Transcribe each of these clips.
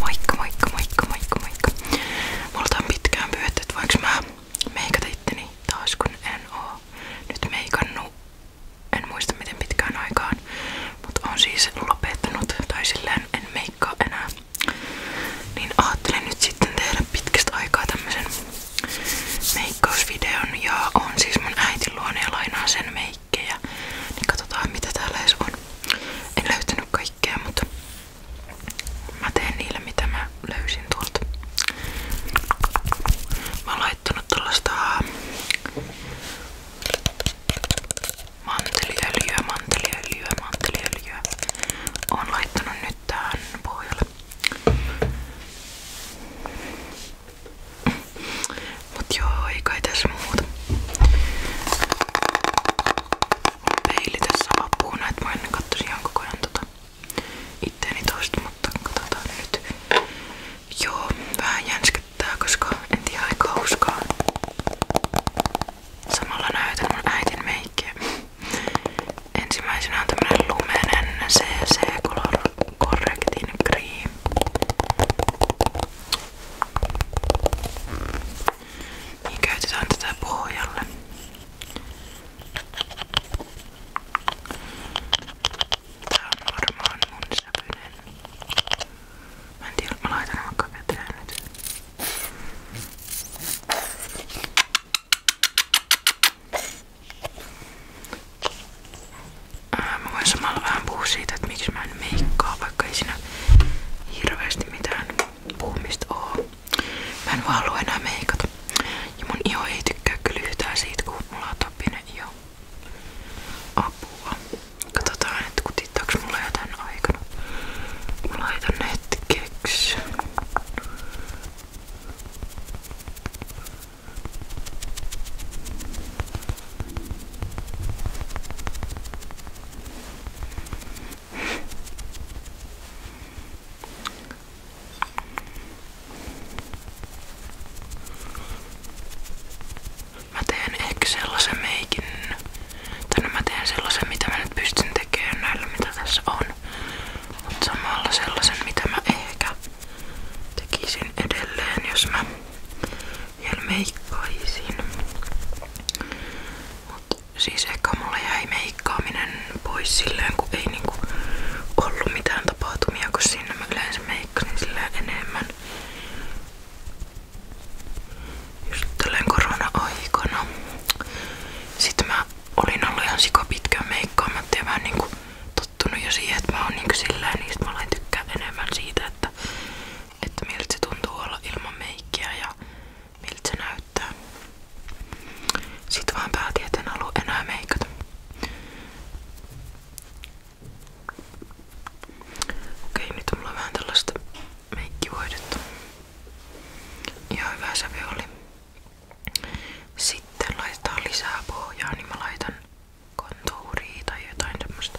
Moikka, moikka, moikka, moikka, moikka. Multa on pitkään pyydetty, että voinko mä meikata itteni taas, kun en oo nyt meikannu. En muista miten pitkään aikaan, mutta on siis lopettanut tai silleen en meikkaa enää. Niin ajattelin nyt sitten tehdä pitkästä aikaa tämmösen meikkausvideon ja on siis mun äitin luona ja lainaa sen meikkejä. Niin katsotaan mitä täällä edes on. En löytänyt kaikkea kaikkea, mutta mä teen niillä mitä mä löysin tuolta. Mä oon laittanut tällaista manteliöljyä, manteliöljyä, manteliöljyä. Oon laittanut nyt tähän pohjalle. Mut joo, ei kai tässä muuta. Peili tässä vapuuna, että mä ennen katsoisin ihan koko ajan tota itteeni toista, mutta katsotaan nyt. Joo, vähän jänskettää, koska en tiedä aika hauskaa. Samalla näytän mun äitin meikkiä. Ensimmäisenä on tämmönen lumenen CC Color Correcting Cream. Niin käytetään tätä pohjalle. Tää on varmaan mun säpynen. Mä en tiedä, mä laitan vaikka käteen nyt. Ää, mä voin siitä, että miksi mä mitään meikkaa, vaikka ei siinä hirveästi mitään puhumista oo. Mä en vaan halua enää meikata. Ja mun iho ei tykkää kyllä yhtään siitä, kun mulla on topinen iho. Apua. Katsotaan, että kutittaaks mulla jotain aikana. Mä laitan hetkeksi. Mä teen ehkä sellaisen meikin, tai no mä teen sellaisen mitä mä nyt pystyn tekemään näillä mitä tässä on. Mut samalla sellaisen mitä mä ehkä tekisin edelleen, jos mä vielä meikkaisin. Mut siis ehkä mulla jäi meikkaaminen pois silleen, kun ei niinku ollut mitään tapahtumia, kun siinä mä yleensä meikkasin silleen enemmän. Just tälleen korona-aikana. Sitten mä olin ollut ihan sika pitkään meikkaamatta ja mä niinku tottunut jo siihen, että mä oon niinku silleen, niin sit mä olen tykkää enemmän siitä, että että miltä se ilman meikkiä ja miltä se Sitten vaan päätin, että en Okei, nyt on mulla vähän tällaista meikkivoidetta. Ihan hyvä Sitten laitetaan lisää niin mä laitan kontuuria tai jotain tämmöstä.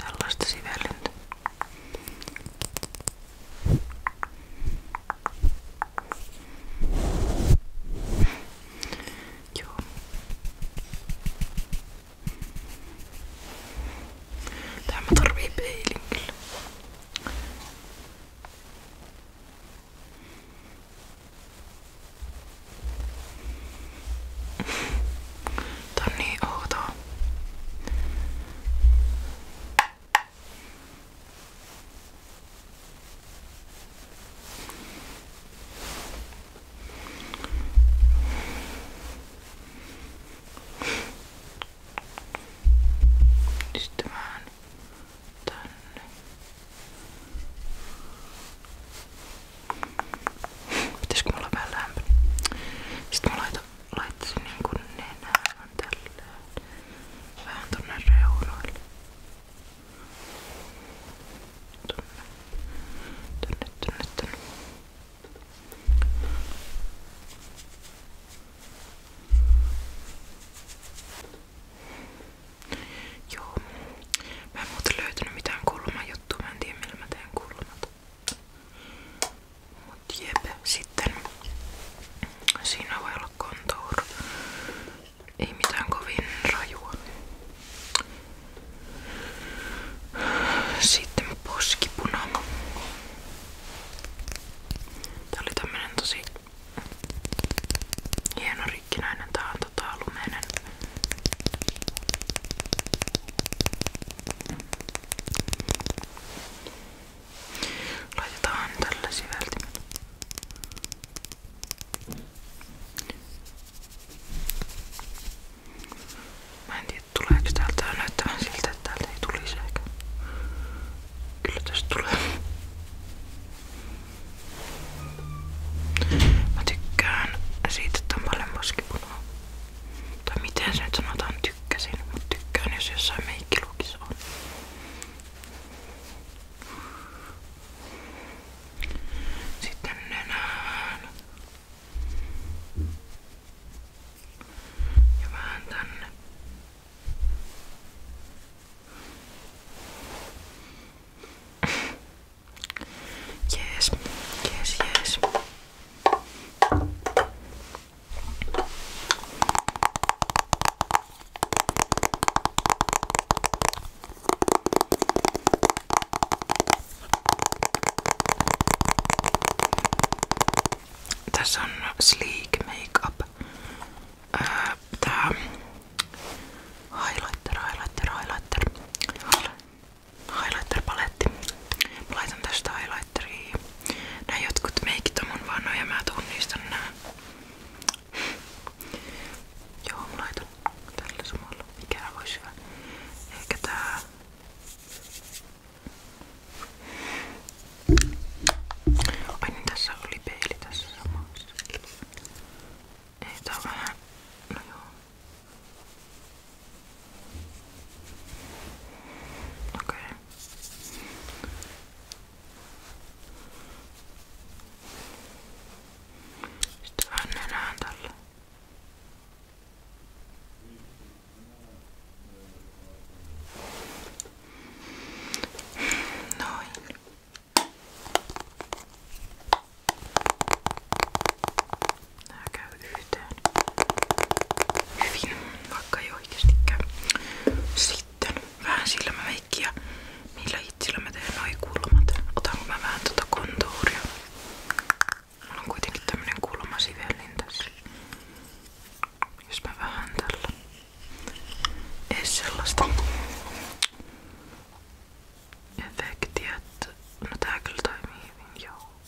Tällaista sivellintä. Joo. Tää mä tarvii peilin kyllä. Joo. Tää on niin outoa. Sitten vähän tänne. Pitäisikö mulla vähän lämpöä? Sitten mä laitan, laittaisin niinku nenään tälleen. Vähän tonne reunoille. Tonne. Tonne, tonne, tonne. Joo. Mä en muuten löytänyt mitään kulman juttua. Mä en tiedä millä mä teen kulmat. Mut jep, sitten siinä voi olla kontour. Ei mitään kovin rajua. Sitten poskipuna. Tää oli tämmönen tosi hieno rikkinäinen. Tää on tota lumeinen. Laitetaan tällä siveltimellä. Mä en tiedä tuleeko täältä näyttämään siltä, että täältä ei tulisi ehkä. Kyllä tästä tulee. Mä tykkään siitä, että on paljon poskipunaa. Tai miten se nyt sanotaan tykkäsin, mutta tykkään jos jossain meikkiluokissa on. Sitten nenään. Ja vähän tänne. Jees, jees, jees. Tässä on sleek makeup. Tää highlighter, highlighter, highlighter highlighter-paletti. Mä laitan tästä highlighteria. Nää jotkut meikit on mun vanhoja, mä tunnistan nää. Joo, mä laitan tällä samalla. Mikä voisi hyvä? Ehkä tää... Ai niin, tässä oli peili tässä samassa. Ei tää on vähän... No joo. Okej. Okay. Sitten vähän nenään tälle. Noin. Nää käy yhteen hyvin, vaikka ei oikeastikään. Sitten vähän sillä mä meikkiä, millä hitsillä mä teen noi kulmat. Otanko mä vähän tota kontuuria? Mulla on kuitenkin tämmönen kulmasivellin tässä. Jos mä vähän tällä. Ei sellaista efektiä, että no tää kyllä toimii hyvin, joo.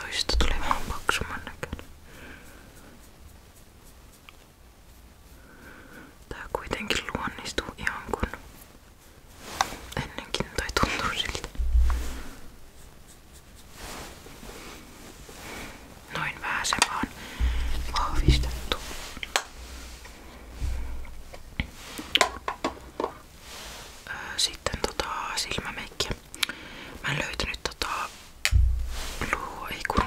Toista tuli vähän paksumman näköinen. Tää kuitenkin luonnistuu ihan kun ennenkin Noin vähän se vahvistettu. Sitten tota silmämeikkiä Mä en löytänyt tota luo, ei kun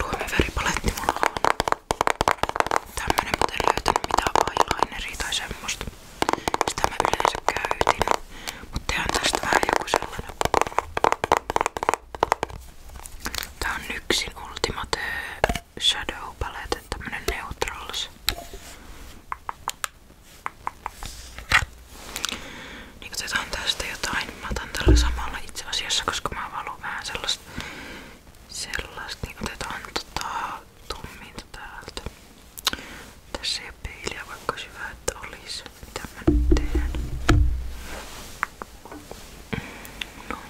luomiväripaletti mulla on tämmönen, mutta en löytänyt mitään eyelineria tai semmoista. Sitä mä yleensä käytin, mutta tehdään tästä vähän joku sellainen. Tää on Nyksin Ultimate Shadow Palette, tämmönen neutrals. Niin otetaan tästä jotain. Niin mä otan tällä samalla itse asiassa, koska mä valon vähän sellaista. Sellaista, niin otetaan tota tumminta täältä. Tässä ei ole peiliä, vaikka olisi hyvä, että olisi. Mitä mä nyt teen? Noin.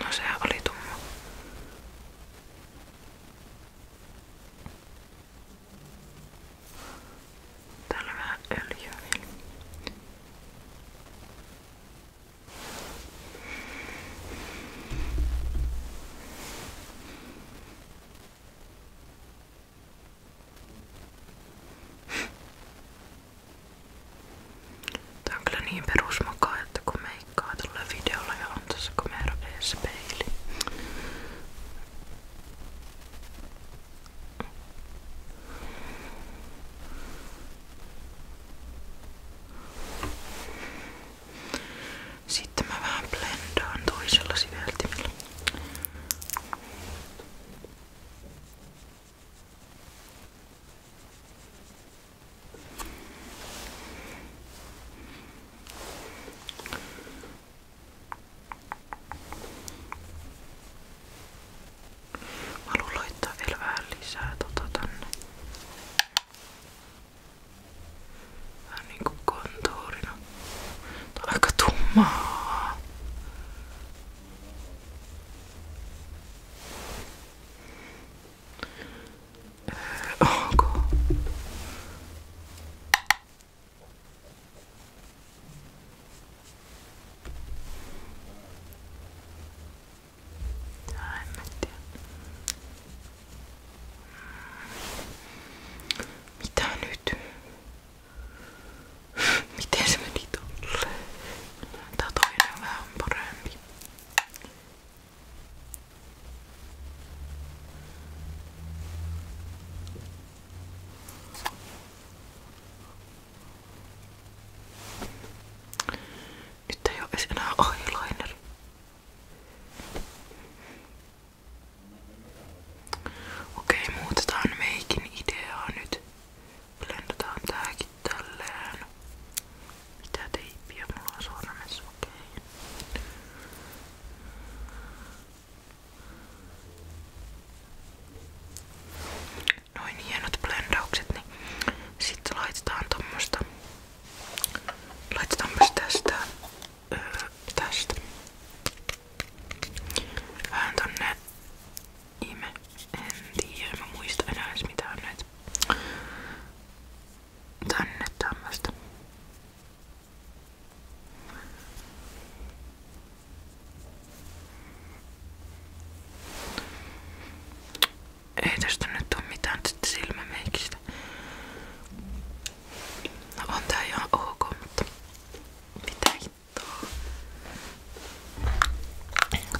No se oli tumma. Täällä on vähän öljyä vielä. Tää on kyllä niin perusmokaa, että kun meikkaa tulee videolla ja on tuossa kamera edessä peili. Sitten mä vähän blendaan toisella siveltimellä. Mä haluan laittaa vielä vähän lisää tota tänne. Vähän niinku kontuurina. Tää on aika tummaa. Ögon. Nej, men det... Mitä nyt? Miten se meni tolle? Tää toinen on vähän parempi. Nyt ei ole enää eyeliner. Okei, muutetaan meikin ideaa nyt. Blendataan tääkin. Ainakin tälleen. Mitä teippiä mulla on sormessa? Okei. Noin hienot blendaukset, niin sitten laitetaan tommosta. Laitetaan myös tästä. Öö, tästä. Vähän tonne ime en tiedä, mä muista enää edes mitä on nyt tänne tämmöstä. Ei tästä nyt oo mitään tästä silmämeikistä. No on tää ihan ok, mutta mitä hittoa.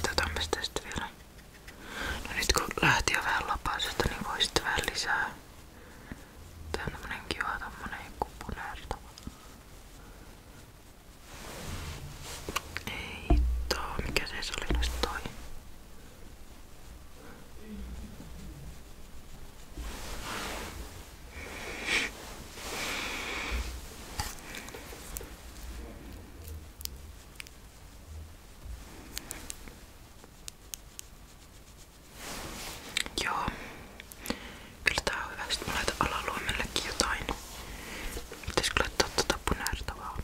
Katsotaan tästä vielä. No nyt kun lähti jo vähän lapasesta, niin voi sitten vähän lisää. Tää on tämmönen kiva tommonen kupunerto. Ei too, mikä se oli noista toi? Joo. Kyllä tää on hyvä. Sitten mä laitan alaluomellekin jotain. Pitäisikö laittaa tuota punaista vaan?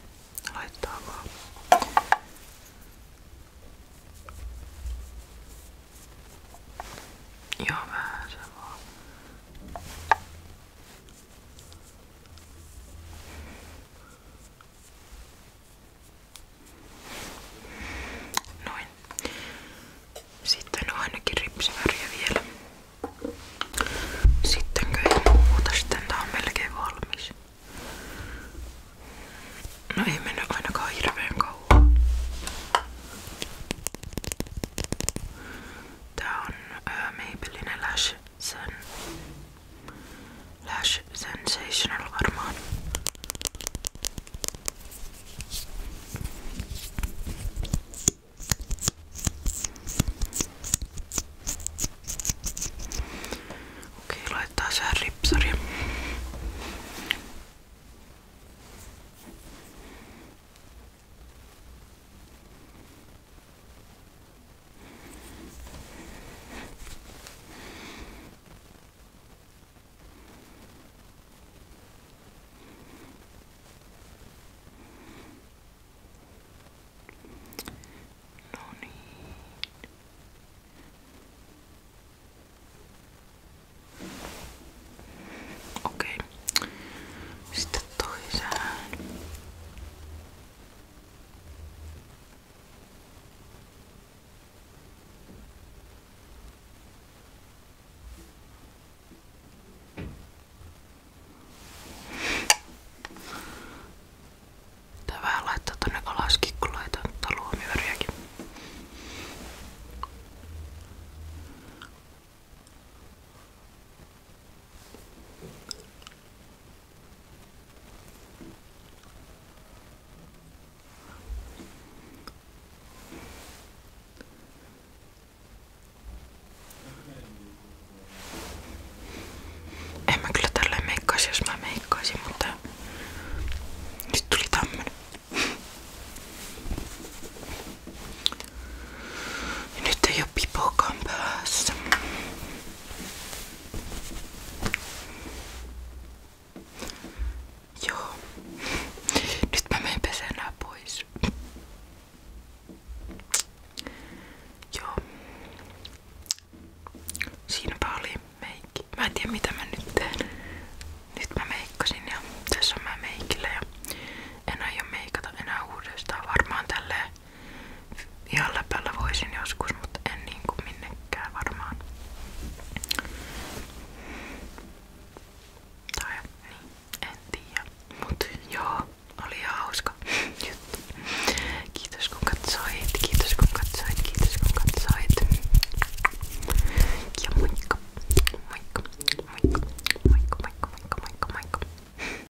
Laittaa vaan. Joo, vähän se vaan. Noin. Sitten on ainakin ripsiväriä vielä. Sittenkö ei muuta, sitten tää on melkein valmis. No ei mennyt ainakaan hirveän kauan. Tää on ää, Maybelline Lash sen Lash Sensational varmaan. Okei, laittaa sään ripsari. No need. Okei. Okay. Sitten toiseen. Tää vähän laittaa tonne kalaskikkuloita, mutta luomiväriäkin. En mä kyllä tälleen meikkaisi, jos mä meikkaisin, mutta nyt tuli tämmönen nyt ei oo pipokaan päässä. Joo. Nyt mä menen pesenää pois. Joo. Siinäpä oli meikki. Mä mitä mä nyt teen. Nyt mä tässä on mä meikillä ja en aio meikata enää uudestaan varmaan tälleen ihan läpällä voisin joskus, mutta en niinku minnekään varmaan. Tai niin, en tiedä. Mut joo, oli ihan hauska juttu. Kiitos kun katsoit, kiitos kun katsoit, kiitos kun katsoit. Ja moikka, moikka, moikka, moikka, moikka, moikka, moikka, moikka.